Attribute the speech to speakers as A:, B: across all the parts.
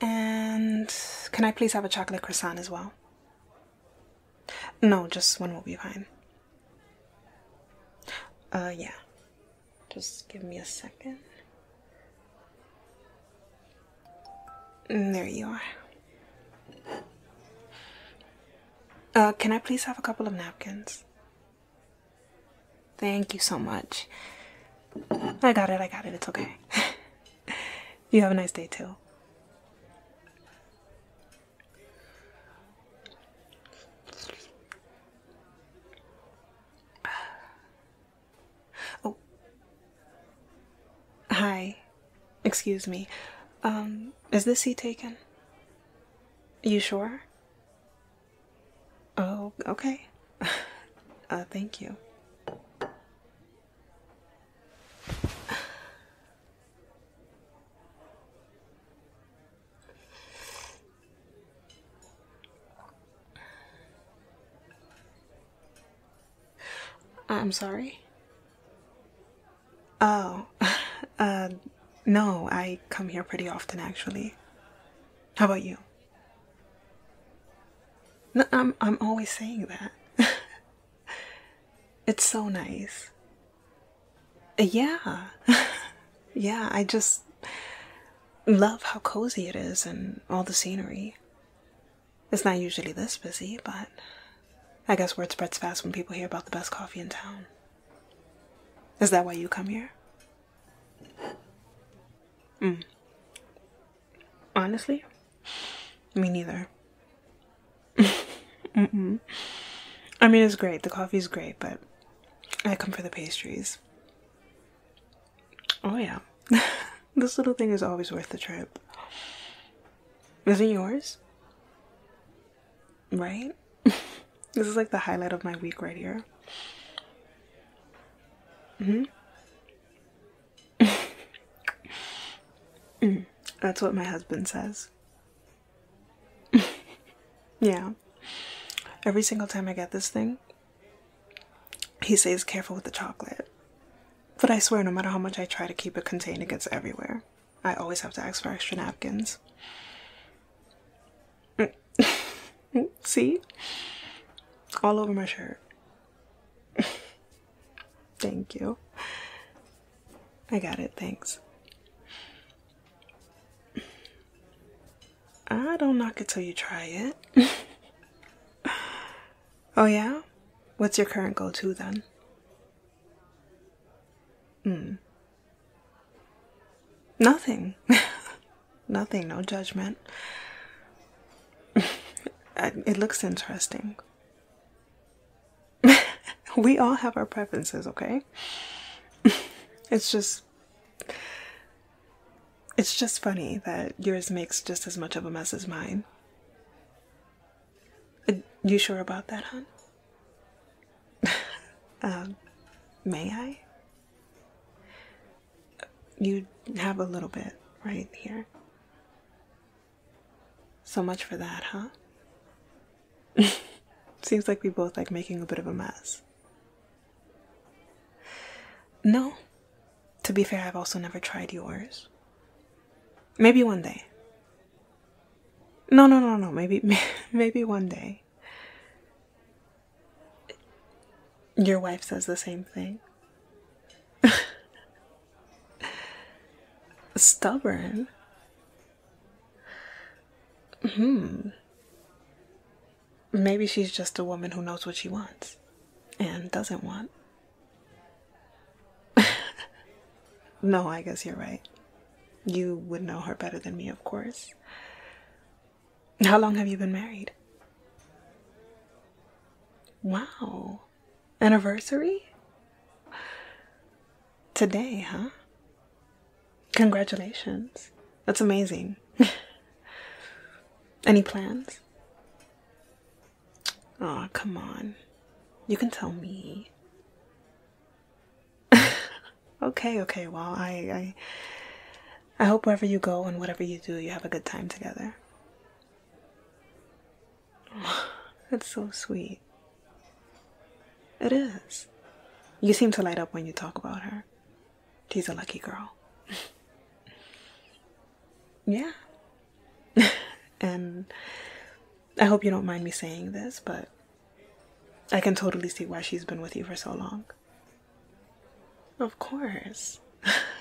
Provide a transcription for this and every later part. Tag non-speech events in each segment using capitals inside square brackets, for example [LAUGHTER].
A: And can I please have a chocolate croissant as well? No, just one will be fine. Uh, yeah. Just give me a second. Mm, there you are. Uh, can I please have a couple of napkins? Thank you so much. I got it, I got it. It's okay. [LAUGHS] you have a nice day too. [SIGHS] Oh. Hi. Excuse me. Um, is this seat taken? You sure? Oh, okay. [LAUGHS] Uh, thank you. I'm sorry. Oh, [LAUGHS] uh, no, I come here pretty often actually. How about you? I'm I'm always saying that. [LAUGHS] it's so nice. Yeah. [LAUGHS] yeah, I just love how cozy it is and all the scenery. It's not usually this busy, but I guess word spreads fast when people hear about the best coffee in town. Is that why you come here? Mm. Honestly, me neither. [LAUGHS] Mm-mm. I mean, it's great. The coffee's great, but I come for the pastries. Oh, yeah. [LAUGHS] this little thing is always worth the trip. Is it yours? Right? [LAUGHS] this is like the highlight of my week right here. Mm hmm [LAUGHS] that's what my husband says. [LAUGHS] yeah. Every single time I get this thing, he says, careful with the chocolate. But I swear, no matter how much I try to keep it contained, it gets everywhere. I always have to ask for extra napkins. Mm. [LAUGHS] See? All over my shirt. [LAUGHS] Thank you. I got it, thanks. I don't knock it till you try it. [LAUGHS] oh, yeah? What's your current go to then? Hmm. Nothing. Nothing, no judgment. [LAUGHS] it looks interesting. [LAUGHS] we all have our preferences, okay? [LAUGHS] it's just it's just funny that yours makes just as much of a mess as mine. Uh, you sure about that, hon? Um, may I? you have a little bit right here. So much for that, huh? [LAUGHS] Seems like we both like making a bit of a mess. No, to be fair, I've also never tried yours. Maybe one day. No, no, no, no, maybe, [LAUGHS] maybe one day. Your wife says the same thing. [LAUGHS] Stubborn. Hmm. Maybe she's just a woman who knows what she wants and doesn't want. [LAUGHS] no, I guess you're right. You would know her better than me, of course. How long have you been married? Wow. Anniversary? Today, huh? Congratulations. That's amazing. [LAUGHS] Any plans? oh, come on. You can tell me. [LAUGHS] okay, okay, well, I I hope wherever you go and whatever you do, you have a good time together. [SIGHS] That's so sweet. It is. You seem to light up when you talk about her. She's a lucky girl. [LAUGHS] yeah. [LAUGHS] and I hope you don't mind me saying this, but I can totally see why she's been with you for so long. Of course.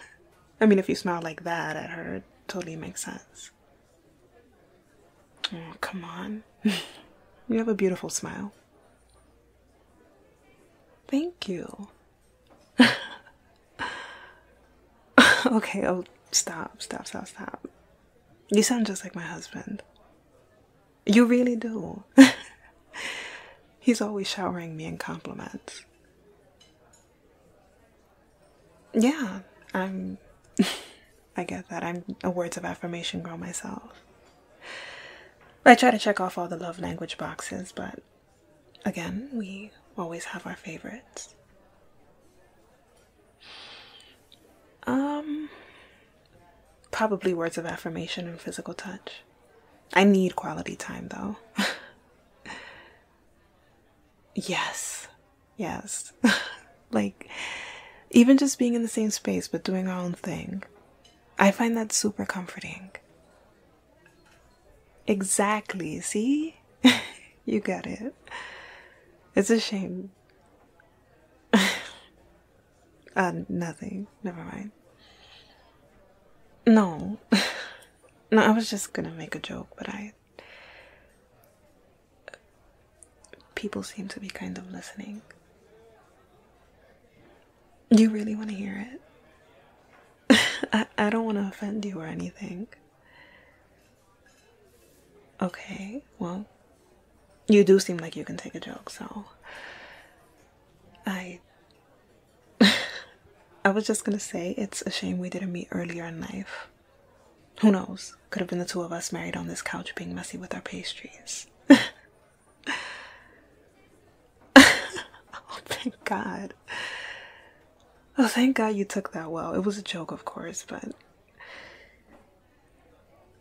A: [LAUGHS] I mean, if you smile like that at her, it totally makes sense. Oh, come on. [LAUGHS] you have a beautiful smile. Thank you. [LAUGHS] okay, oh, stop, stop, stop, stop. You sound just like my husband. You really do. He's always showering me in compliments. Yeah, I'm. [LAUGHS] I get that. I'm a words of affirmation girl myself. I try to check off all the love language boxes, but again, we always have our favorites. Um, probably words of affirmation and physical touch. I need quality time though. [LAUGHS] yes. Yes. [LAUGHS] like, even just being in the same space but doing our own thing, I find that super comforting. Exactly. See? [LAUGHS] you got it. It's a shame. uh, nothing never mind. No. [LAUGHS] no, I was just gonna make a joke, but I. People seem to be kind of listening. You really want to hear it? [LAUGHS] I, I don't want to offend you or anything. Okay, well, you do seem like you can take a joke, so. I [LAUGHS] I was just gonna say it's a shame we didn't meet earlier in life. Who knows? Could have been the two of us married on this couch being messy with our pastries. [LAUGHS] oh, thank God. Oh, thank God you took that well. It was a joke, of course, but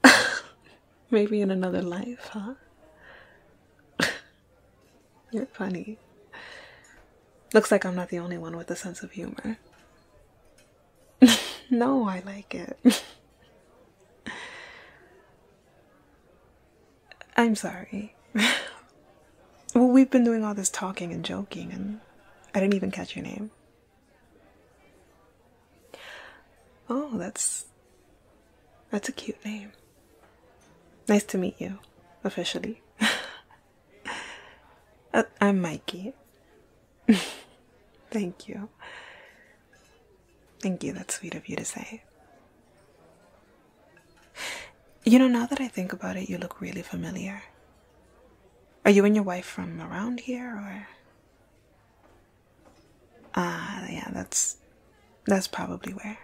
A: [LAUGHS] maybe in another life, huh? You're funny. Looks like I'm not the only one with a sense of humor. [LAUGHS] no, I like it. [LAUGHS] I'm sorry. [LAUGHS] well, we've been doing all this talking and joking, and I didn't even catch your name. Oh, that's that's a cute name. Nice to meet you, officially. [LAUGHS] Uh, I'm Mikey. [LAUGHS] Thank you. Thank you, that's sweet of you to say. You know, now that I think about it, you look really familiar. Are you and your wife from around here, or? Ah, yeah, that's that's probably where.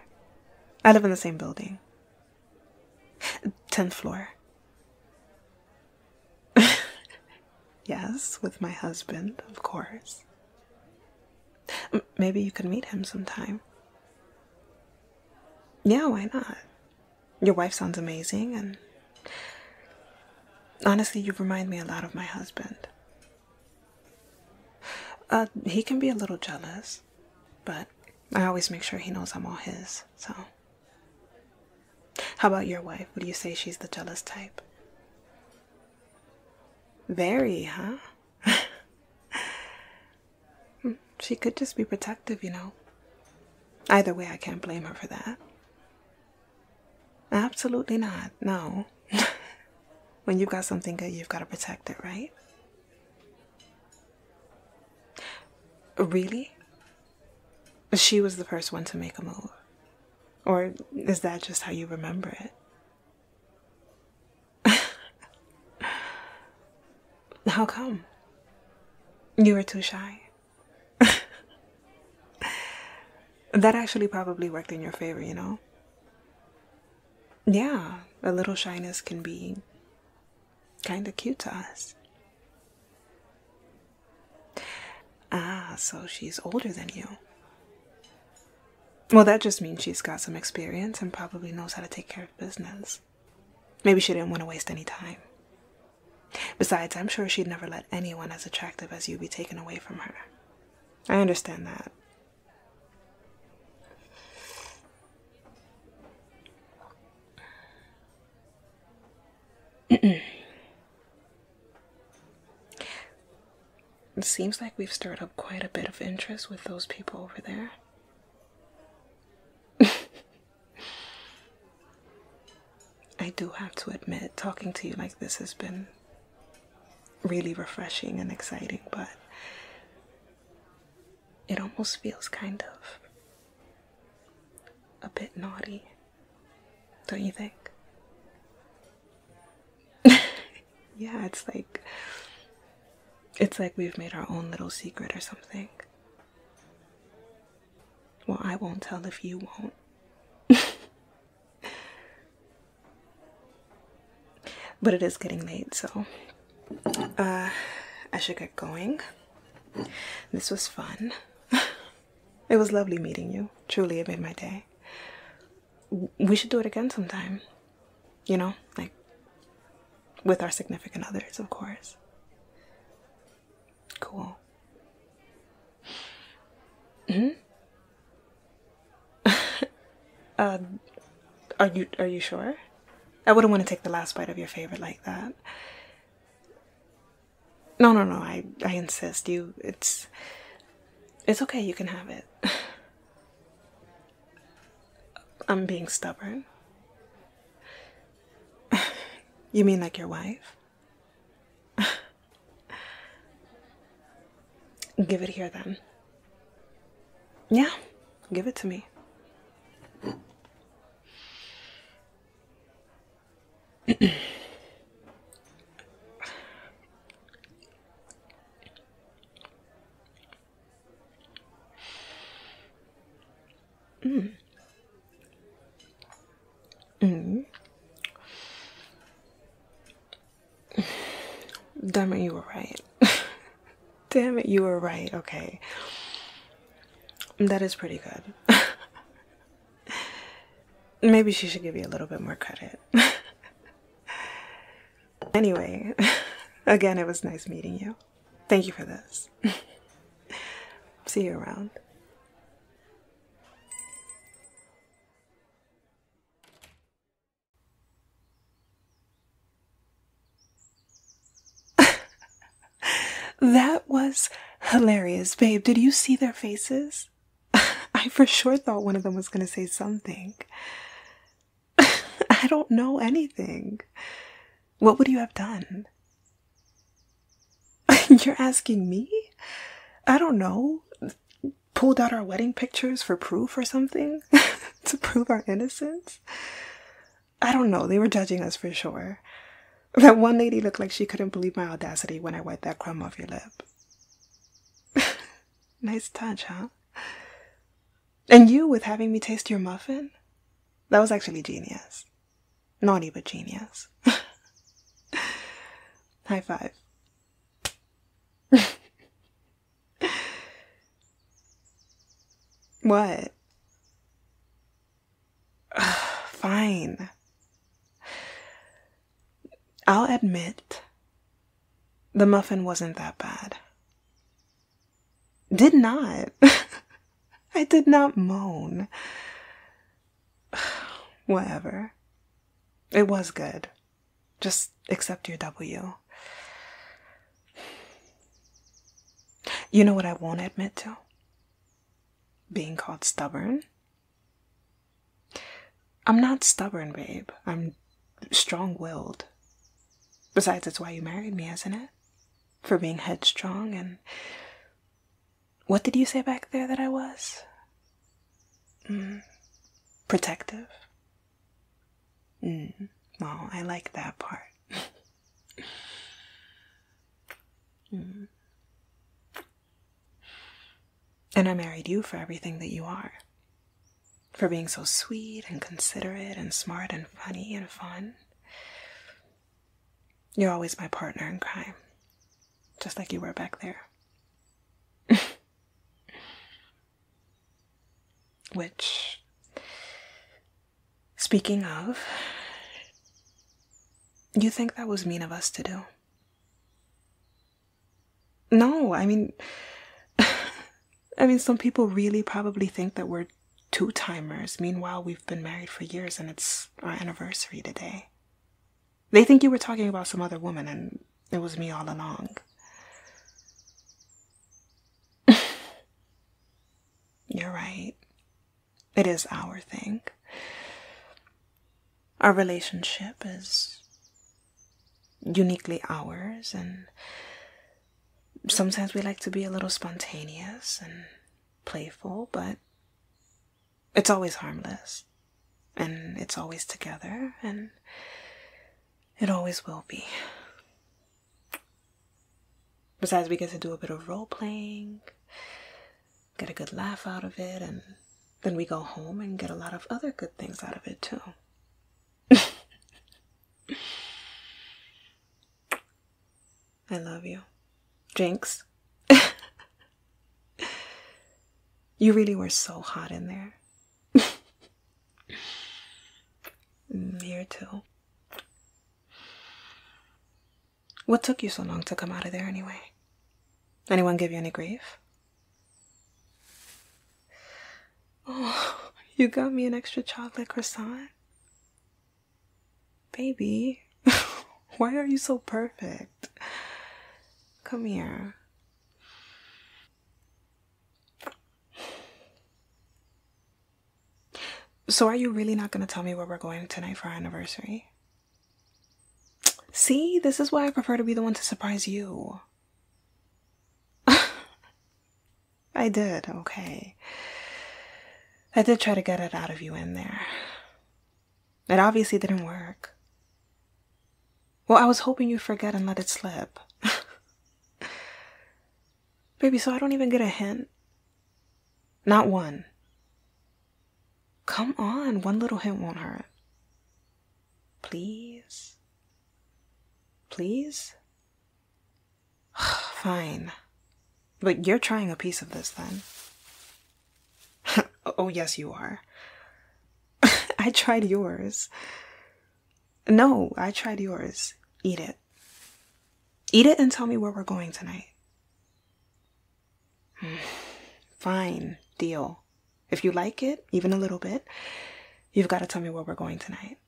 A: I live in the same building. 10th floor. [LAUGHS] yes, with my husband, of course. maybe you could meet him sometime. Yeah, why not? Your wife sounds amazing, and honestly, you remind me a lot of my husband. Uh, he can be a little jealous, but I always make sure he knows I'm all his, so. How about your wife? Would you say she's the jealous type? Very, huh? [LAUGHS] Hmm, she could just be protective, you know. Either way, I can't blame her for that. Absolutely not, no. [LAUGHS] when you've got something good, you've got to protect it, right? Really? She was the first one to make a move. Or is that just how you remember it? [LAUGHS] how come? You were too shy. [LAUGHS] that actually probably worked in your favor, you know? yeah, a little shyness can be kind of cute to us. Ah, so she's older than you. Well, that just means she's got some experience and probably knows how to take care of business. Maybe she didn't want to waste any time. Besides, I'm sure she'd never let anyone as attractive as you be taken away from her. I understand that it seems like we've stirred up quite a bit of interest with those people over there. [LAUGHS] I do have to admit, talking to you like this has been really refreshing and exciting, but it almost feels kind of a bit naughty, don't you think? [LAUGHS] yeah, it's like it's like we've made our own little secret or something. Well, I won't tell if you won't. [LAUGHS] But it is getting late, so uh, I should get going. This was fun. [LAUGHS] it was lovely meeting you. Truly, it made my day. We should do it again sometime. You know, like with our significant others, of course. Cool. hmm [LAUGHS] Um, are you are you sure? I wouldn't want to take the last bite of your favorite like that. No, no, no. I I insist. You, it's it's okay. You can have it. [LAUGHS] I'm being stubborn. [LAUGHS] you mean like your wife? Give it here then. Yeah, give it to me. mm. Mm. Damn it, you were right. [LAUGHS] Damn it, you were right. Okay. That is pretty good. [LAUGHS] Maybe she should give you a little bit more credit. [LAUGHS] anyway, again, it was nice meeting you. Thank you for this. See you around. [LAUGHS] that was hilarious, babe. Did you see their faces? [LAUGHS] I for sure thought one of them was going to say something. [LAUGHS] I don't know anything. What would you have done? You're asking me? I don't know pulled out our wedding pictures for proof or something [LAUGHS] to prove our innocence. I don't know, they were judging us for sure. That one lady looked like she couldn't believe my audacity when I wiped that crumb off your lip. [LAUGHS] nice touch, huh? And you with having me taste your muffin? That was actually genius. Naughty but genius. [LAUGHS] High five. [LAUGHS] what? [SIGHS] Fine. I'll admit the muffin wasn't that bad. Did not. [LAUGHS] I did not moan. [SIGHS] Whatever. It was good. Just accept your W. You know what I won't admit to? Being called stubborn. I'm not stubborn, babe. I'm strong willed. Besides, it's why you married me, isn't it? For being headstrong and. What did you say back there that I was? Mm. Protective. Mm. well, I like that part. [LAUGHS] Mm. And I married you for everything that you are. For being so sweet and considerate and smart and funny and fun. You're always my partner in crime, just like you were back there. [LAUGHS] Which, speaking of, you think that was mean of us to do? No, I mean, [LAUGHS] I mean, some people really probably think that we're two timers. Meanwhile, we've been married for years and it's our anniversary today. They think you were talking about some other woman, and it was me all along. [LAUGHS] You're right. It is our thing. Our relationship is uniquely ours, and sometimes we like to be a little spontaneous and playful, but it's always harmless, and it's always together, and it always will be. Besides, we get to do a bit of role playing, get a good laugh out of it, and then we go home and get a lot of other good things out of it, too. [LAUGHS] I love you. Jinx. [LAUGHS] you really were so hot in there. [LAUGHS] Here too. What took you so long to come out of there anyway? Anyone give you any grief? Oh, [LAUGHS] you got me an extra chocolate croissant? Baby, [LAUGHS] why are you so perfect? Come here. So, are you really not going to tell me where we're going tonight for our anniversary? See, this is why I prefer to be the one to surprise you. [LAUGHS] I did, okay. I did try to get it out of you in there. It obviously didn't work. Well, I was hoping you would forget and let it slip. [LAUGHS] Baby, so I don't even get a hint? Not one. Come on, one little hint won't hurt. Please? Please? [SIGHS] Fine. But you're trying a piece of this then. [LAUGHS] oh, yes, you are. [LAUGHS] I tried yours. No, I tried yours. Eat it. Eat it and tell me where we're going tonight. [SIGHS] Fine, deal. If you like it, even a little bit, you've got to tell me where we're going tonight.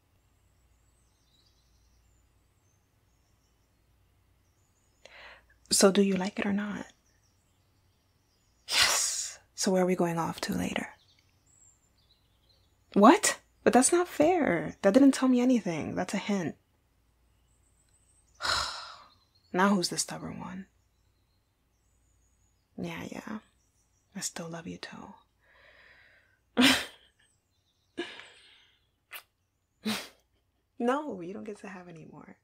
A: So, do you like it or not? Yes. So where are we going off to later? What? But that's not fair. That didn't tell me anything. That's a hint. [SIGHS] now who's the stubborn one? Yeah, yeah. I still love you too. [LAUGHS] no, you don't get to have any more.